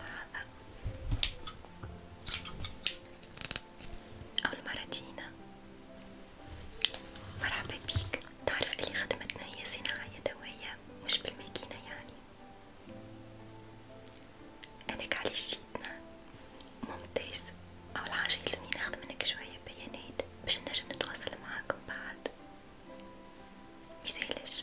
هذا أو المراتينا مرحبا بيك تعرف اللي خدمتنا هي صناعة يدوية مش بالماكينة يعني هذاك علاش جيتنا ممتاز أول حاجة يلزمني ناخد منك شوية بيانات باش نجم نتواصل معاك من بعد ميسالش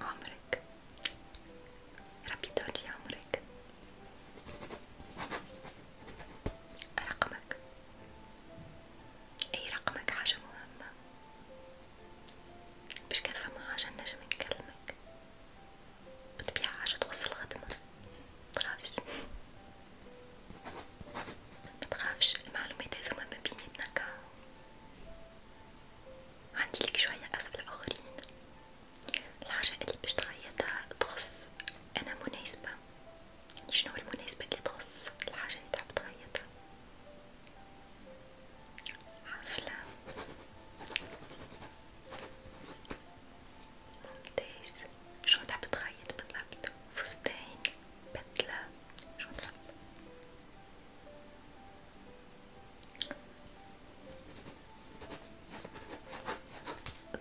عمرك ربي يطول عمرك رقمك اي رقمك حاجة مهمة باش كان فما حاجة نجم نكلمك بطبيعة حاجة تخص الخدمة برافو متخافش المعلومات هذوما ما بيناتنا كا عندي لك شوية أسئلة أخرين الحاجة اللي باش تغيرها تخص أنا مناسبة شنو المناسبة اللي تخص الحاجة اللي تحب تغيرها حفلة ممتاز شنو تحب تغير بالضبط فستان بدلة شنطة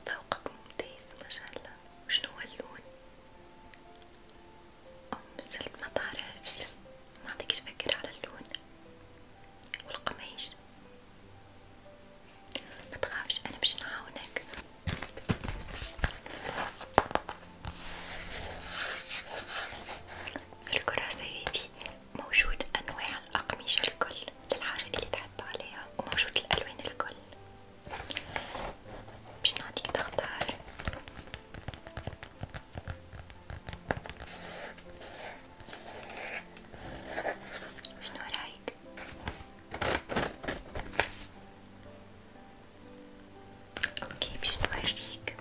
ذوقك ممتاز ما شاء الله وشنو هو اللون أم مازلت ما تعرفش ما عندكش فكرة على اللون والقماش ما تخافش انا باش نعاونك في الكراسة هذي موجود انواع الاقمشة الكل للحاجة اللي تحب عليها وموجود الالوان الكل باش نعطيك تختار شنو رايك؟ اوكي باش نوريك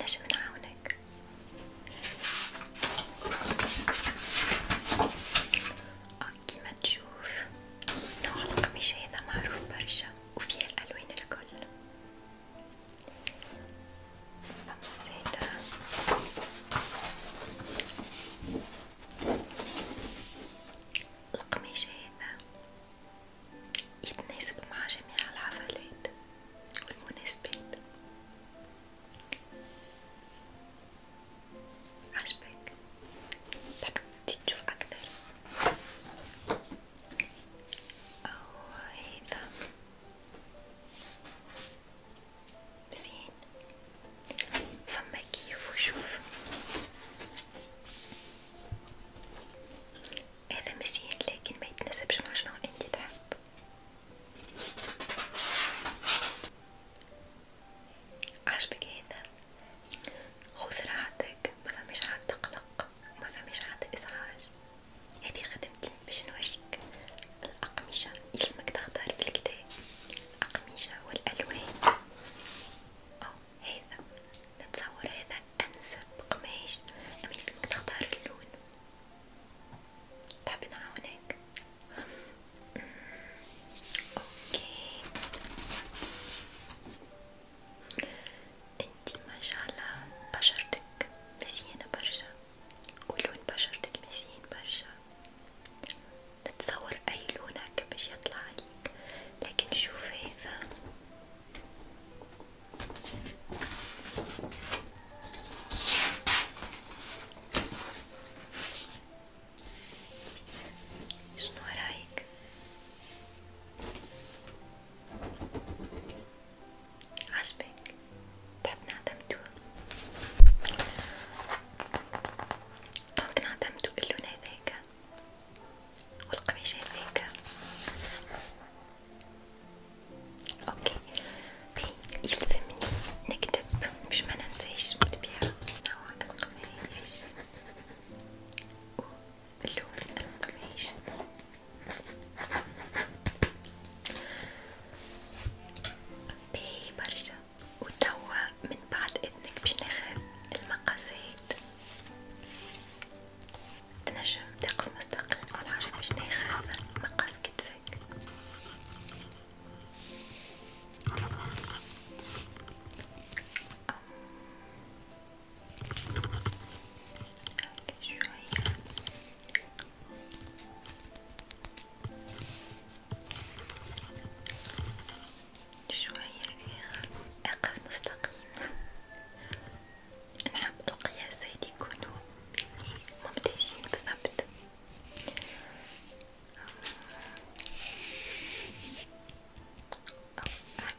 نجم نعاونك كيما تشوف نوع القميش هذا معروف برشا وفيه الالوان الكل فمزيتها القميش هذا يتناسب مع جميع الحفلات والمناسبات عجبك تحب تشوف أكثر أو هذا زين فما كيف وشوف هذا مزيان لكن ما يتناسبش مع شنو انت تحب عجبك هذا خذ راحتك ما فماش عاد تقلق ما فماش عاد ازعاج هذه خدمتي باش نوريك الأقمشة يلزمك تختار بالكدا الأقمشة والألوان أو هذا نتصور هذا أنسب قماش أما يلزمك تختار اللون تحب نعاونك اوكي انتي ما شاء الله بشرتك مزينة برشا ولون بشرتك مزين برشا تتصور اي لون هكا باش يطلع عليك لكن شوف هذا شنو رايك؟ عجبك تحب طيب نعتمدو ممكن نعتمدو اللون هذاك والقميش هذاك اوكي إيه، يلزمني نكتب باش ما ننساش بالطبيعة نوع القماش باللون القميش باهي برشا وتوا من بعد اذنك باش ناخذ المقاسات تنجم تقف مستقل على حاجة باش ناخذ مقاس كتفك شوية شوية أقف مستقيم نحب القياسات يكونوا ممتازين بثبت أو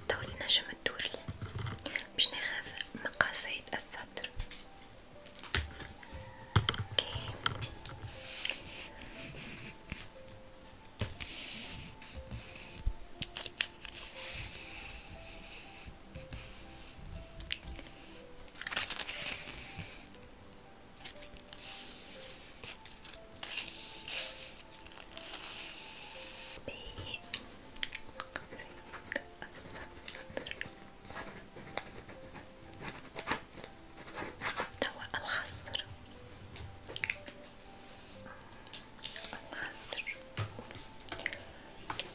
توا النجم الدولي باش ناخذ مقاسات الصدر اوكي دواء الخصر الخصر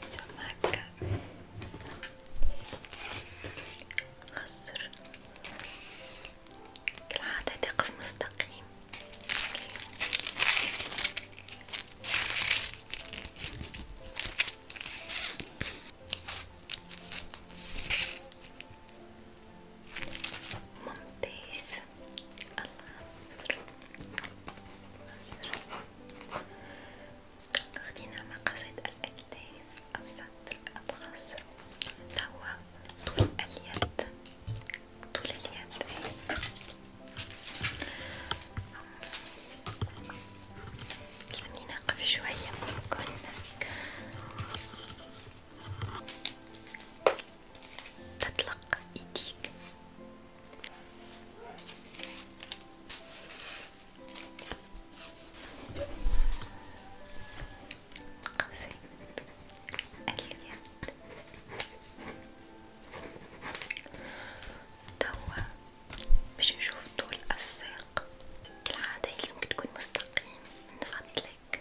سماكة خصر كالعادة تقف مستقيم اوكي ممتاز الله أصدر. أصدر. أخذنا مقصد الأكتاف الصدر الخصر توا طول اليد طول اليد لازمني نقف شوية ممكن تطلق ايديك قصيد اليد توا باش نشوف طول الساق كالعادة يلزمك تكون مستقيم من فضلك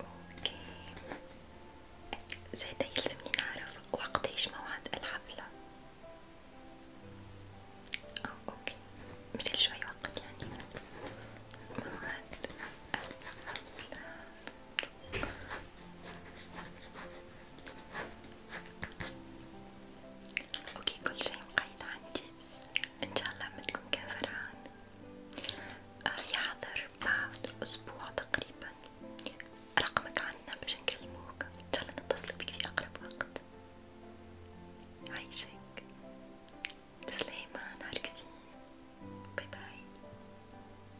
اوكي زادا يلزمني نعرف وقتاش موعد الحفلة أو اوكي مثل شوي وقت يعني موعد الحفلة اوكي كل شي مقيد عندي ان شاء الله ما تكون كان فرحان آه يحضر بعد اسبوع تقريبا رقمك عندنا باش نكلموك ان شاء الله نتصل بك في اقرب وقت عايشك بسلامة نهارك زين باي باي